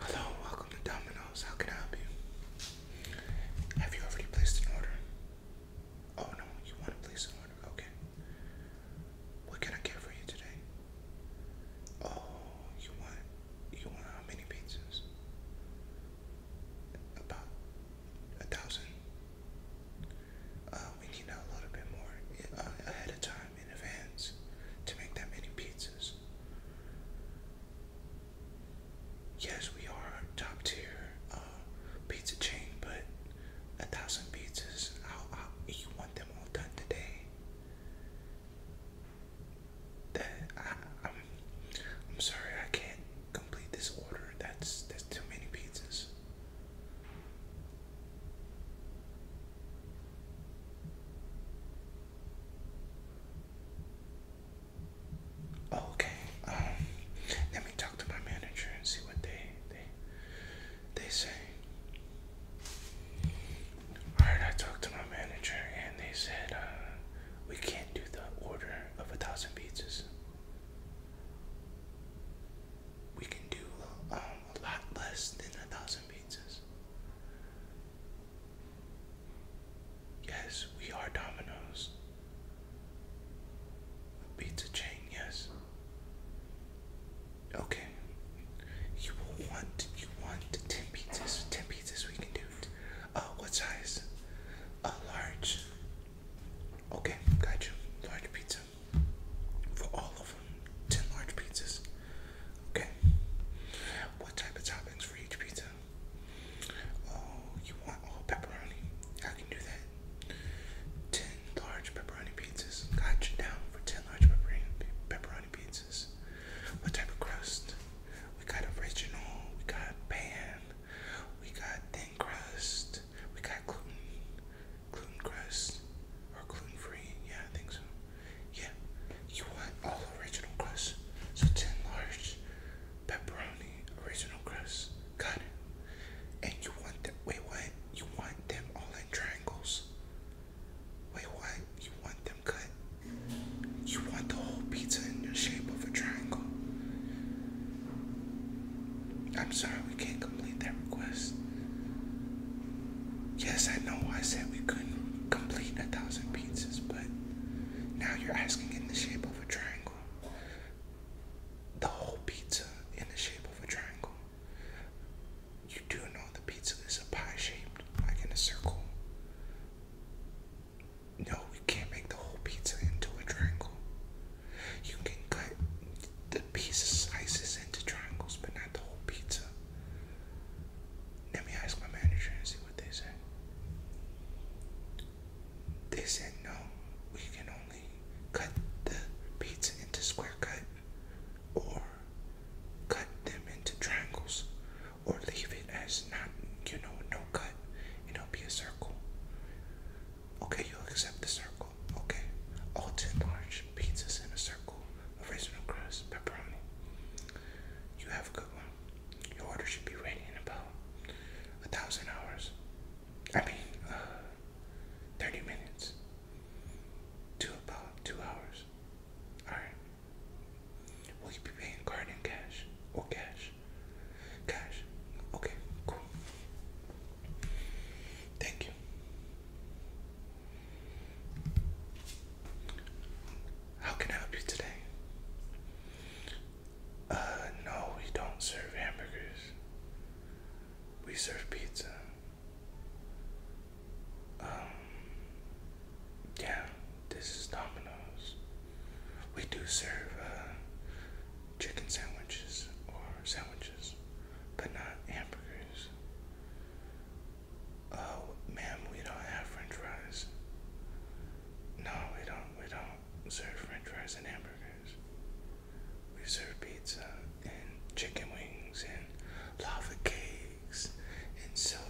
Hello, welcome to Domino's. How can I help you? Have you already placed an order? Oh no, you want to place an order? Okay. What can I get for you today? Oh, you want you want how many pizzas? About a thousand. Uh, we need a little bit more uh, ahead of time in advance to make that many pizzas. Yes, we are top tier uh, pizza chain, but a thousand pizzas, I'll, I'll, you want them all done today. That I'm, I'm sorry, I can't complete this order. That's that's too many pizzas. Oh, okay, um, let me talk to my manager and see what they they say. Alright, I talked to my manager and they said uh, we can't do the order of a thousand pizzas. We can do um, a lot less than a thousand pizzas. Yes, we are Domino's. pizza chain, yes. Okay. You want you want ten pizzas. Ten pizzas we can do it. Uh what size? A large. Okay, got you. Large pizza for all of them. Ten large pizzas. Okay. What type of toppings for each pizza? Oh, you want all pepperoni? I can do that. Ten large pepperoni pizzas. Got you down for ten large pepperoni pepperoni pizzas. What type of crust? We got original. We got pan. We got thin crust. We got gluten gluten crust or gluten free. Yeah, I think so. Yeah, you want all original crust. So 10 large pepperoni original crust. cut. And you want that. Wait, what? You want them all in triangles? Wait, what? You want them cut? You want the whole pizza in the shape of a triangle? I'm sorry we can't complete that request. Yes, I know I said we couldn't complete a thousand pizzas, but now you're asking in the shape of a triangle. The whole pizza in the shape of a triangle. You do know the pizza is a pie shaped, like in a circle. No, we can't make the whole pizza into a triangle. You can cut the pizza slices into triangles, but not the whole pizza. Let me ask my manager and see what they say. They said no, we can only cut the pizza into square cut or cut them into triangles or leave it as not, you know, no cut. It'll be a circle. Okay, you'll accept the circle. Okay. All ten large pizzas in a circle. Original crust, pepperoni. You have a good one. Your order should be ready in about a thousand hours. I mean, uh, 30 minutes to about two hours. Alright. Will you be paying card and cash or cash? Cash. Okay, cool. Thank you. How can I help you today? Uh, no, we don't serve hamburgers. We serve pizza. Um, yeah, this is Domino's. We do serve uh, chicken sandwiches or sandwiches, but not hamburgers. Oh, ma'am, we don't have french fries. No, we don't. We don't serve french fries and hamburgers. We serve pizza and chicken wings and lava cakes and soda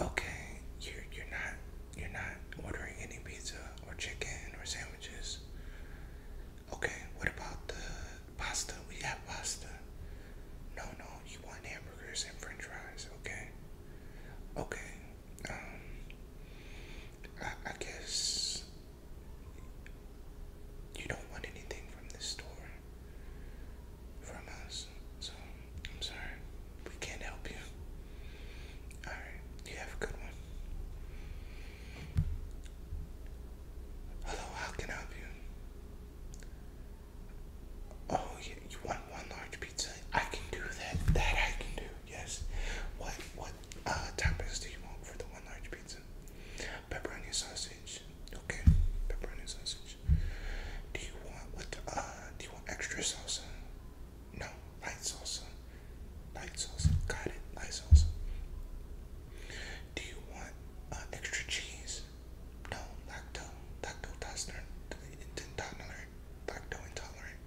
okay, you're you're not you're not ordering any pizza or chicken or sandwiches. Okay, what about the pasta? We have pasta. No, no, you want hamburgers and French fries, okay? Okay. Um I I guess you don't want anything from this store from us. So I'm sorry, we can't help you. All right, you have a good one. Hello, how can I help you? Oh, yeah, you want one large pizza? I can do that. That I can do. Yes. What what uh, toppings do you want for the one large pizza? Pepperoni sauce. Okay, pepperoni sausage. Do you want with uh? Do you want extra salsa? No, light salsa. Light salsa. Got it. Light salsa. Do you want uh, extra cheese? No, lacto, lacto intolerant, lacto intolerant.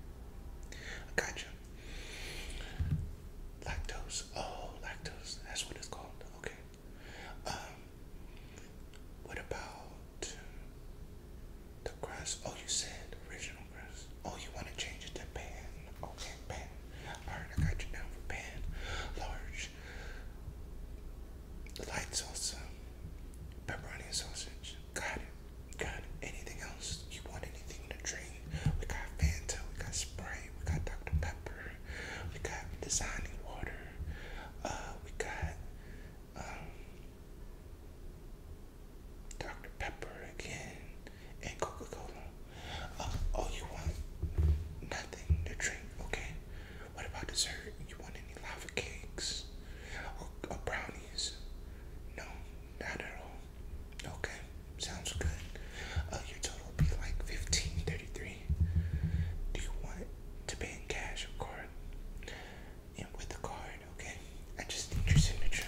gotcha. Lactose. Oh, lactose. That's what it's called. Okay. Um, what about the crust? Oh, you said original crust. Oh, you want to change it to pan. Okay, pan. Alright, I got you down for pan. Large. The lights, also um, Pepperoni and sausage. Got it. Got it. Anything else? You want anything in to drink? We got Fanta. We got Sprite. We got Dr. Pepper. We got designing water. Uh, we got um, Dr. Pepper again and Coca Cola. Uh, oh, you want nothing to drink? Okay. What about dessert? You want any lava cakes or brownies? No, not at all. Okay. Sounds good. Uh, your total will be like fifteen thirty-three. Do you want to pay in cash or card? And with the card, okay? I just need your signature.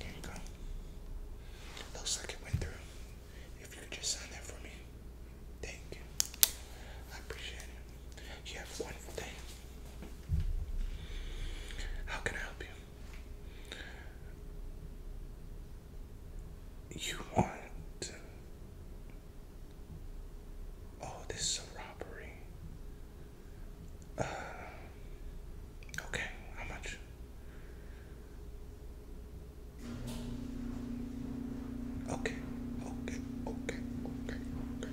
There you go. Looks like it went through. If you could just sign that for me. Thank you. I appreciate it. You have a wonderful day. How can I help you? You want. Oh, this is a robbery. Uh, okay, how much? Okay, okay, okay, okay, okay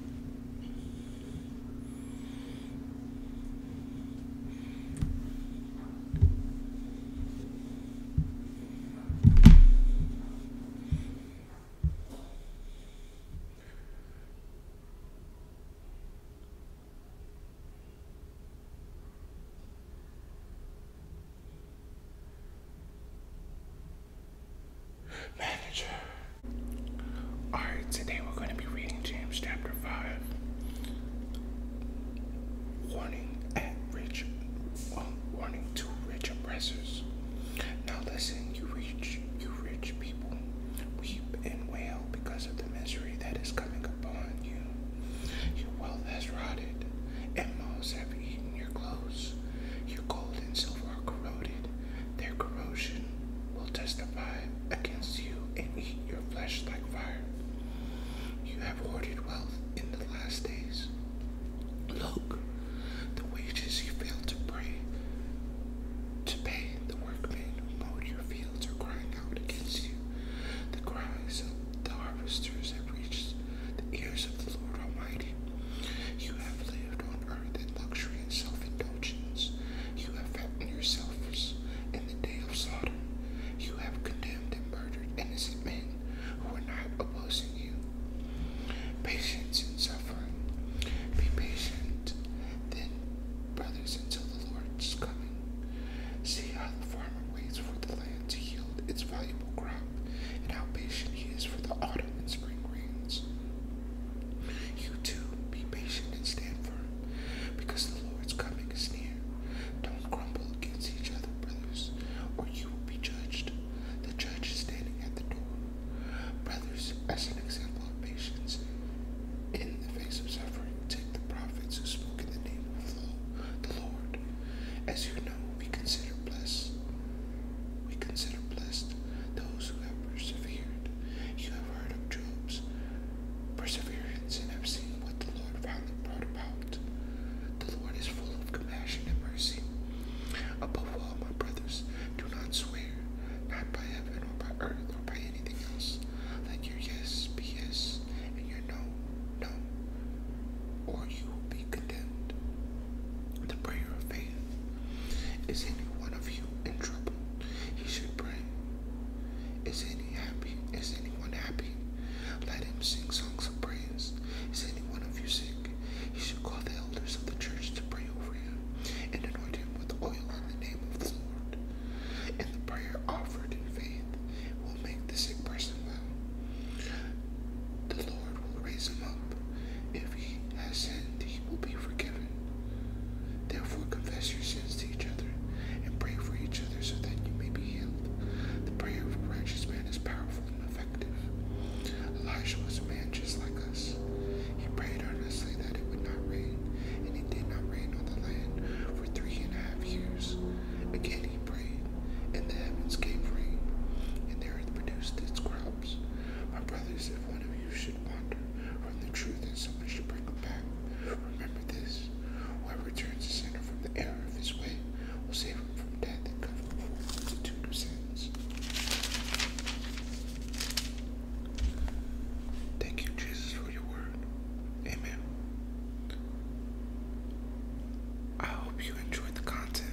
manager Alright, today we're going to be reading James chapter 5. Warning rich, um, warning to rich oppressors. Now listen, you rich, you rich people, weep and wail because of the misery that is coming upon you. Your wealth has rotted, and moths have eaten your clothes. Your gold and silver are corroded, their corrosion will testify against you and eat your flesh like fire. You have hoarded wealth in the last days. Look, the wages you failed to pay to pay the workmen who mowed your fields are crying out against you. The cries of the harvesters have reached the ears of the Lord Almighty. You have lived lived on earth in luxury and self-indulgence. You have fattened yourselves in the day of Sodom. You have condemned and murdered innocent men who were not opposing you. Patience in suffering. Be patient, then, brothers, until the Lord's coming. See how the farmer waits for the land to yield its valuable crop, and how patient he is for the autumn and spring rains. You too, be patient and stand firm, because the Lord's coming is near. Don't grumble against each other, brothers, or you will be judged. The judge is standing at the door. Brothers, as an example of patience in the face of suffering, take the prophets who spoke in the name of the Lord. As you know, we consider blessed we consider blessed those who have persevered. You have heard of Job's perseverance and have seen what the Lord finally brought about. The Lord is full of compassion and mercy. Above all, my brothers, do not swear, not by heaven or by earth or by anything else. Let your yes be yes and your no, no, or you will be condemned. The prayer of faith is any one of you in trouble? He should pray. Is any happy? Is anyone happy? Let him sing songs of praise. Is any one of you sick? He should call the elders of the church to pray over him and anoint him with oil in the name of the Lord. And the prayer offered in faith will make the sick person well. The Lord will raise him up. If he has sinned, he will be forgiven. Therefore, confess your sins to each other and pray for each other so that you may be healed. The prayer of a righteous man is powerful and effective. Elijah was a man just like us. He prayed earnestly that it would not rain, and it did not rain on the land for three and a half years. Again, he prayed, and the heavens gave rain, and the earth produced its crops. My brothers, if one of you should wander from the truth and someone should bring him back, remember this. Whoever turns a sinner from the error of his way will save him from death and cover him from a multitude of sins. Thank you, Jesus, for your word. Amen. I hope you enjoyed the content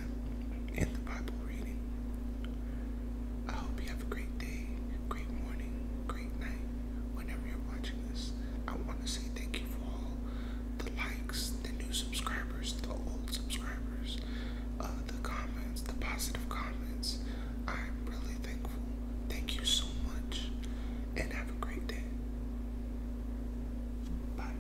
Bible reading. I hope you have a great day, great morning, great night, whenever you're watching this. I want to say thank you for all the likes, the new subscribers, the old subscribers, uh, the comments, the positive comments. I'm really thankful. Thank you so much, and have a great day. Bye.